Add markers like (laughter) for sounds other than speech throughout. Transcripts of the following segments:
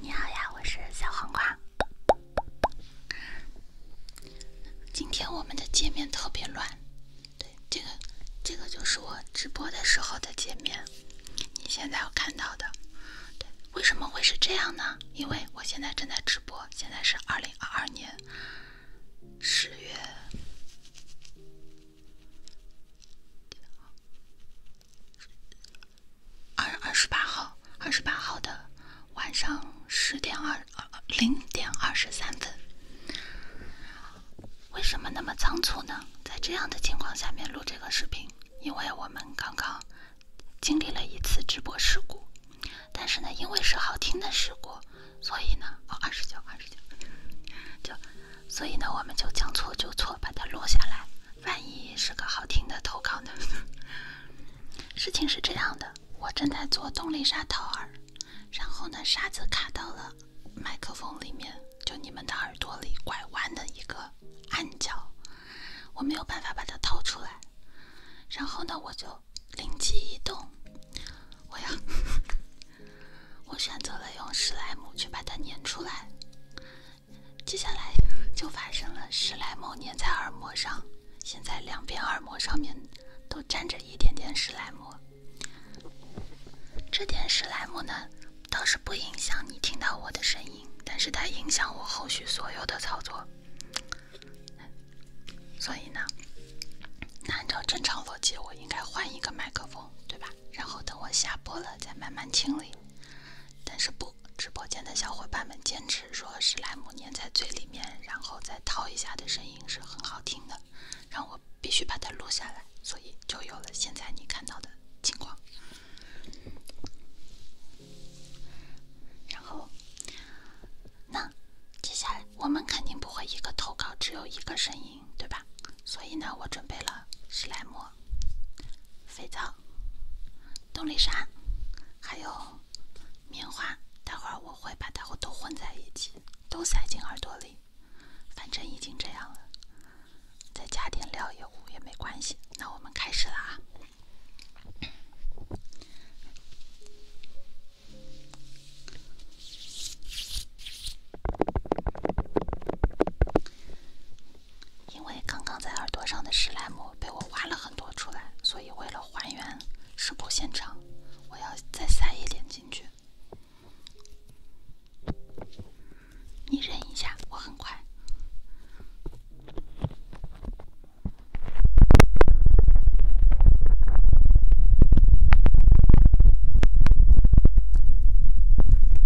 你好呀，我是小黄瓜。今天我们的界面特别乱，对，这个这个就是我直播的时候的界面，你现在要看到的，对，为什么会是这样呢？因为我现在正在直播，现在是二零二二年十月。二二十八号，二十八号的晚上十点二零点二十三分，为什么那么仓促呢？在这样的情况下面录这个视频，因为我们刚刚经历了一次直播事故，但是呢，因为是好听的事故，所以呢，哦，二十九，二十九，就。所以呢，我们就将错就错，把它落下来。万一是个好听的投稿呢？(laughs) 事情是这样的，我正在做动力沙掏耳，然后呢，沙子卡到了麦克风里面，就你们的耳朵里拐弯的一个暗角，我没有办法把它掏出来。然后呢，我就灵机一动，我要，(laughs) 我选择了用史莱姆去把它粘出来。接下来就发生了史莱姆粘在耳膜上，现在两边耳膜上面都粘着一点点史莱姆。这点史莱姆呢，倒是不影响你听到我的声音，但是它影响我后续所有的操作。所以呢，那按照正常逻辑，我应该换一个麦克风，对吧？然后等我下播了再慢慢清理。但是不直播间的小伙伴们坚持说史莱姆粘在嘴里面，然后再掏一下的声音是很好听的，让我必须把它录下来，所以就有了现在你看到的情况。然后，那接下来我们肯定不会一个投稿只有一个声音。对吧？所以呢，我准备了史莱姆、肥皂、动力砂，还有棉花。待会儿我会把它们都混在一起，都塞进耳朵里。反正已经这样了，再加点料也无也没关系。那我们开始了啊！因为刚刚在耳朵上的史莱姆被我挖了很多出来，所以为了还原事故现场，我要再塞一点进去。你忍一下，我很快。(laughs)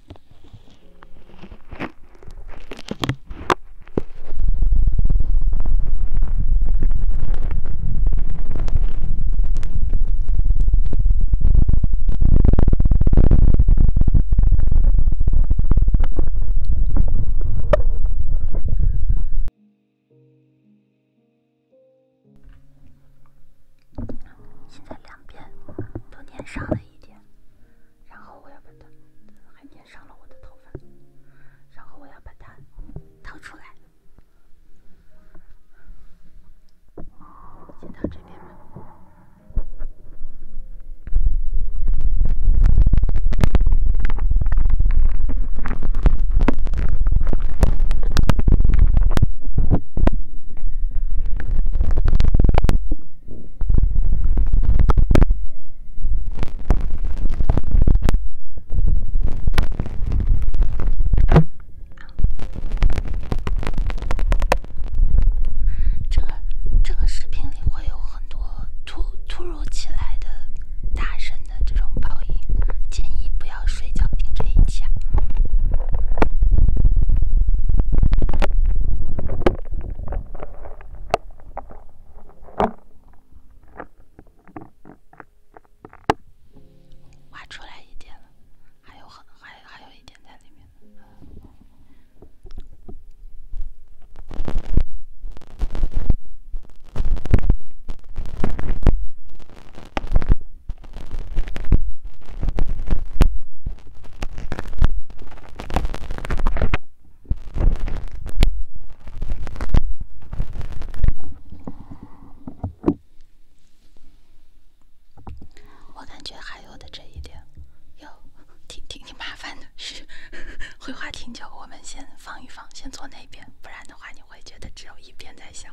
现在两边都粘上了一点。然后我要把它，还粘上了我的头发。然后我要把它掏出来。先到这边。吧。这个这个视频里会有很多突突如其来的、大声的这种报应，建议不要睡觉听这一期。啊。挖出来一点了，还有很还还有一点在里面呢。我感觉还有的这一点，哟，挺挺挺麻烦的。绘画挺久，我们先放一放，先坐那边，不然的话你会觉得只有一边在响。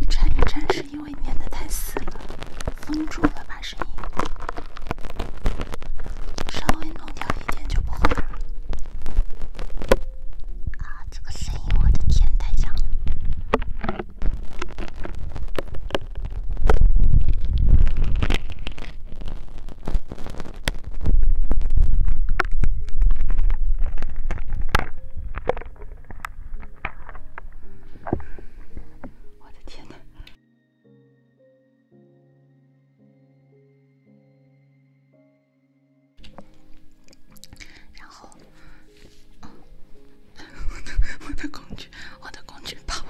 一颤一颤，是因为粘得太死了，封住了吧声音。稍微弄掉一点就不会了。啊，这个声音，我的天，太响了。我的天哪！然后。我 (laughs) 的我的工具，我的工具跑，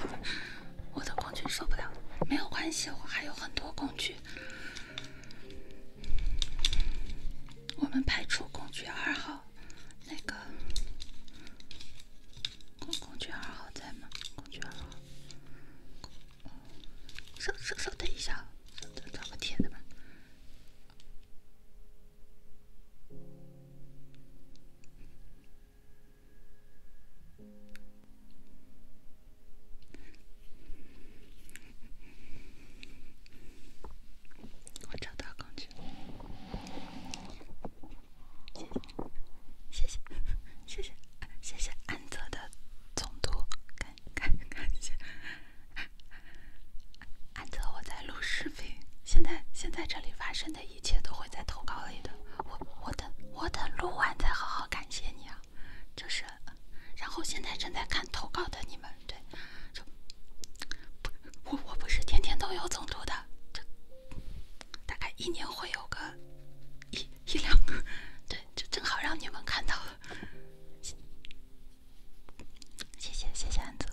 我的工具受不了。没有关系，我还有很多工具。我们排除工具二号，那个工具二号在吗？工具二号，稍稍稍等一下，稍找个铁的吧。我找到工具，谢谢，谢谢，谢谢，安泽的总督，看看，看一下。安泽我在录视频，现在现在这里发生的一。一切都会在投稿里的，我我等我等录完再好好感谢你啊！就是，然后现在正在看投稿的你们，对，就，我我不是天天都有总读的，就大概一年会有个一一两个，对，就正好让你们看到了，谢谢谢谢安子。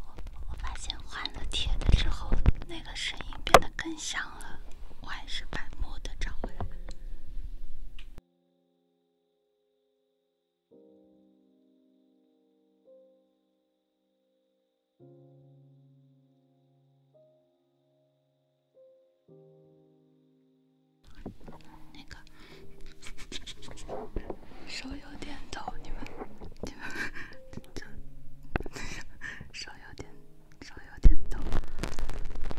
我我发现换了铁的之后，那个声音变得更响了。我还是把木的找回来。那个。手有点抖，你们，(laughs) 你们，手有点，手有点抖。(laughs)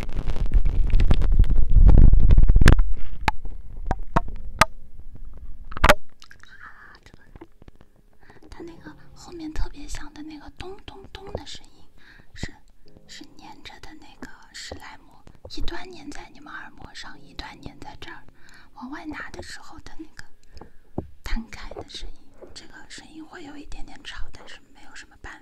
啊，这个，它那个后面特别响的那个咚咚咚的声音，是是粘着的那个史莱姆，一段粘在你们耳膜上，一段粘在这往外拿的时候的那个摊开的声音。这个声音会有一点点吵，但是没有什么办。法。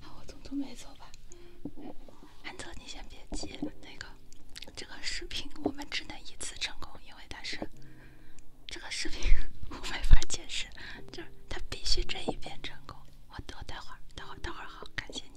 好，我总错没错吧？安泽，你先别急，那个，这个视频我们只能一次成功，因为它是这个视频 (laughs) 我没法解释，就是它必须这一遍成功。我等，待会儿，待会儿，待会儿好，感谢你。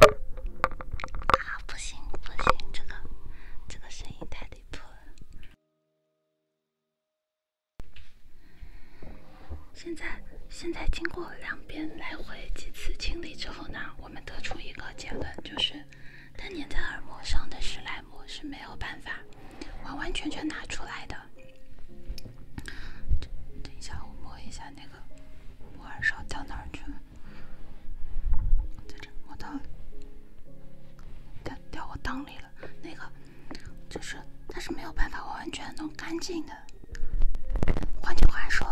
啊，不行不行，这个这个声音太离谱了。现在现在经过两边来回几次清理之后呢，我们得出一个结论，就是它粘在耳膜上的史莱姆是没有办法完完全全拿出来的。等一下，我摸一下那个，我耳勺掉哪儿去了？在这，我到掉掉我裆里了。那个，就是，但是没有办法完全弄干净的。换句话说，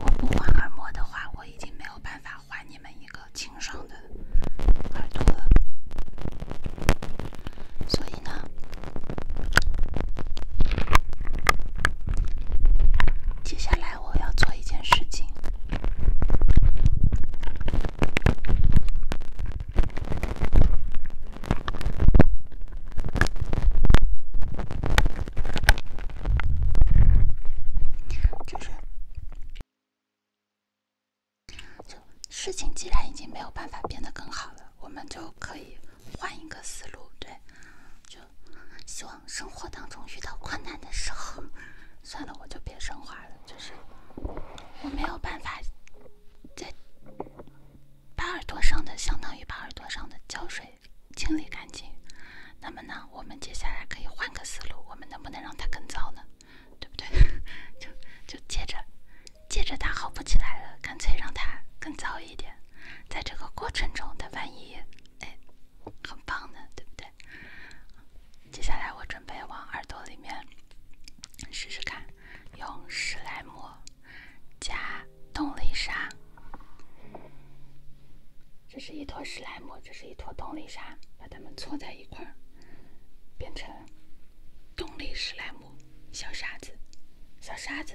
我不换耳膜的话，我已经没有办法还你们一个清爽的耳朵了。所以呢，接下来我要做一件事情，就是，就事情既然已经没有办法变得更好了，我们就可以。换一个思路，对，就希望生活当中遇到困难的时候，(laughs) 算了，我就别升华了。就是我没有办法再把耳朵上的，相当于把耳朵上的胶水清理干净。那么呢，我们接下来可以换个思路，我们能不能让它更糟呢？对不对？(laughs) 就就接着。接着他好不起来了，干脆让他更糟一点，在这个过程中，他万一哎，很棒呢，对不对？接下来我准备往耳朵里面试试看，用史莱姆加动力沙。这是一坨史莱姆，这是一坨动力沙，把它们搓在一块儿，变成。动力史莱姆，小沙子，小沙子，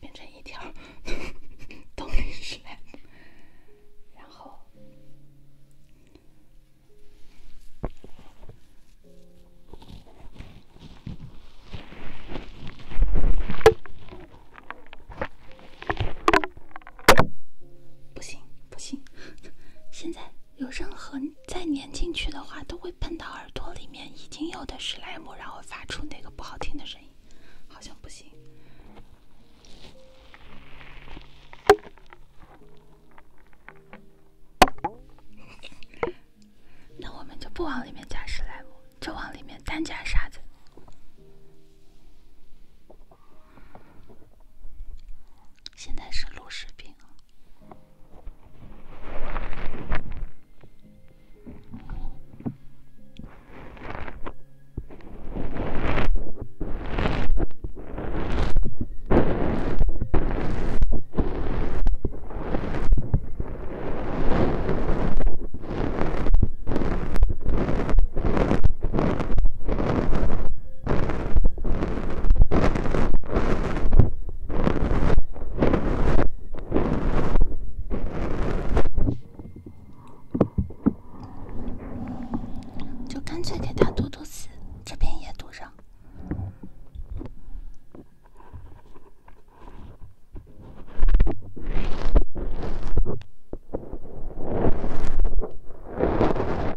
变成一条 (laughs) 动力史莱姆，然后。不行不行，现在有任何再粘进去的话，都会喷到耳朵里面已经有的史莱姆，然后发出那个不好听的声音，好像不行。那我们就不往里面加史莱姆，就往里面单加沙子。现在是录视频。就干脆给他读读词，这边也读上。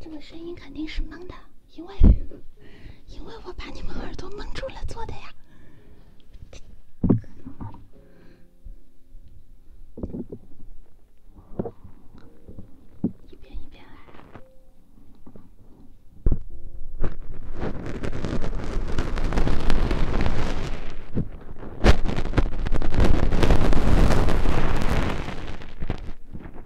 这个声音肯定是蒙的，因为因为我把你们耳朵蒙住了做的呀。一遍一遍来。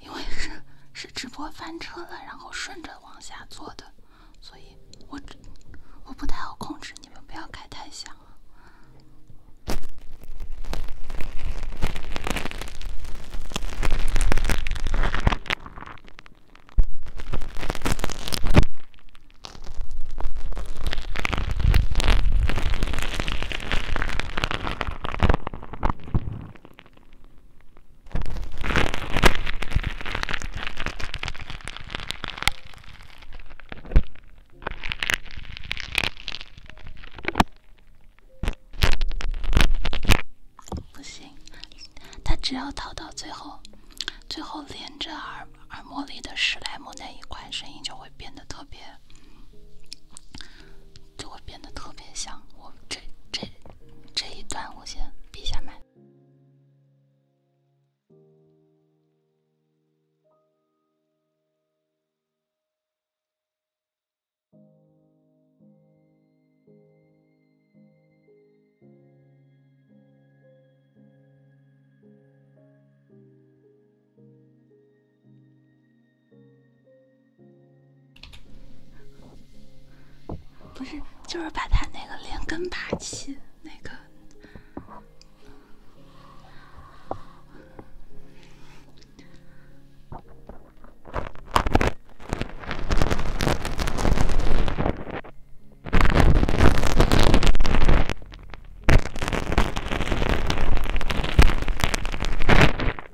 因为是是直播翻车了，然后顺着往下做的，所以我我不太好控制，你们不要开太响了。不行，他只要掏到最后，最后连着耳耳膜里的史莱姆那一块，声音就会变得特别。就会变得特别像我这这这一段，我先闭下麦。不是，就是把他那个连根拔起，那个。(laughs)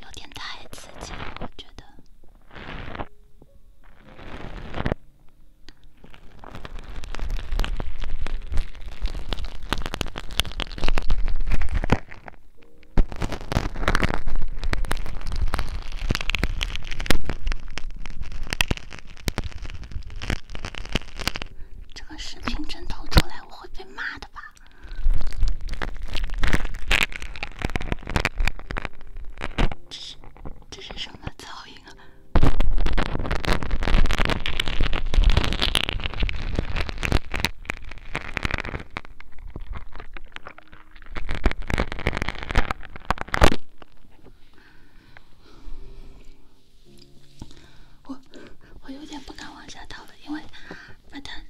有点太刺激了，我觉得。这个视频真投出来，我会被骂的吧？这是这是什么噪音啊？我我有点不敢往下倒了，因为把它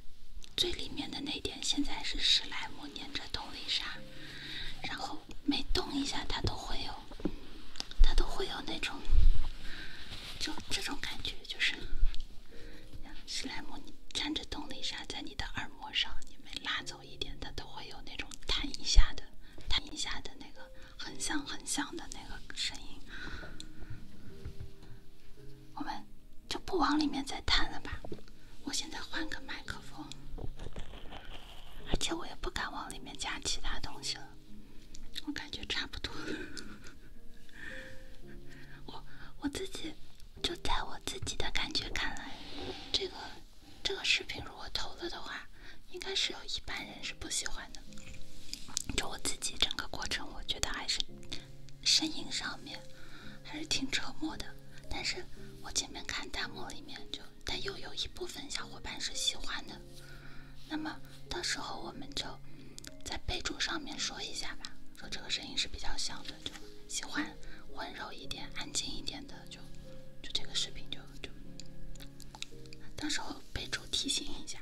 最里面的那点现在是史莱姆粘着动力沙，然后每动一下它都会有，它都会有那种，就这种感觉，就是史莱姆粘着动力沙在你的耳膜上，你没拉走。有一点，它都会有那种弹一下的、弹一下的那个很响很响的那个声音。我们就不往里面再弹了吧。我现在换个麦克风，而且我也不敢往里面加其他东西了。我感觉差不多了。我我自己就在我自己的感觉看来，这个。这个视频如果投了的话，应该是有一半人是不喜欢的。就我自己整个过程，我觉得还是声音上面还是挺折磨的。但是我前面看弹幕里面，就，但又有一部分小伙伴是喜欢的。那么到时候我们就在备注上面说一下吧，说这个声音是比较小的，就喜欢温柔一点、安静一点的。就就这个视频就就，到时候备注提醒一下。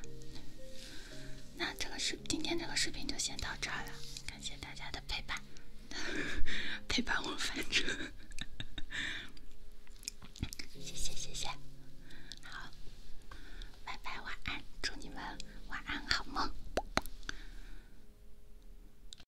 那这个是今天这个视频就先到这儿了，感谢大家的陪伴，(laughs) 陪伴我翻车，谢谢谢谢，好，拜拜晚安，祝你们晚安好梦。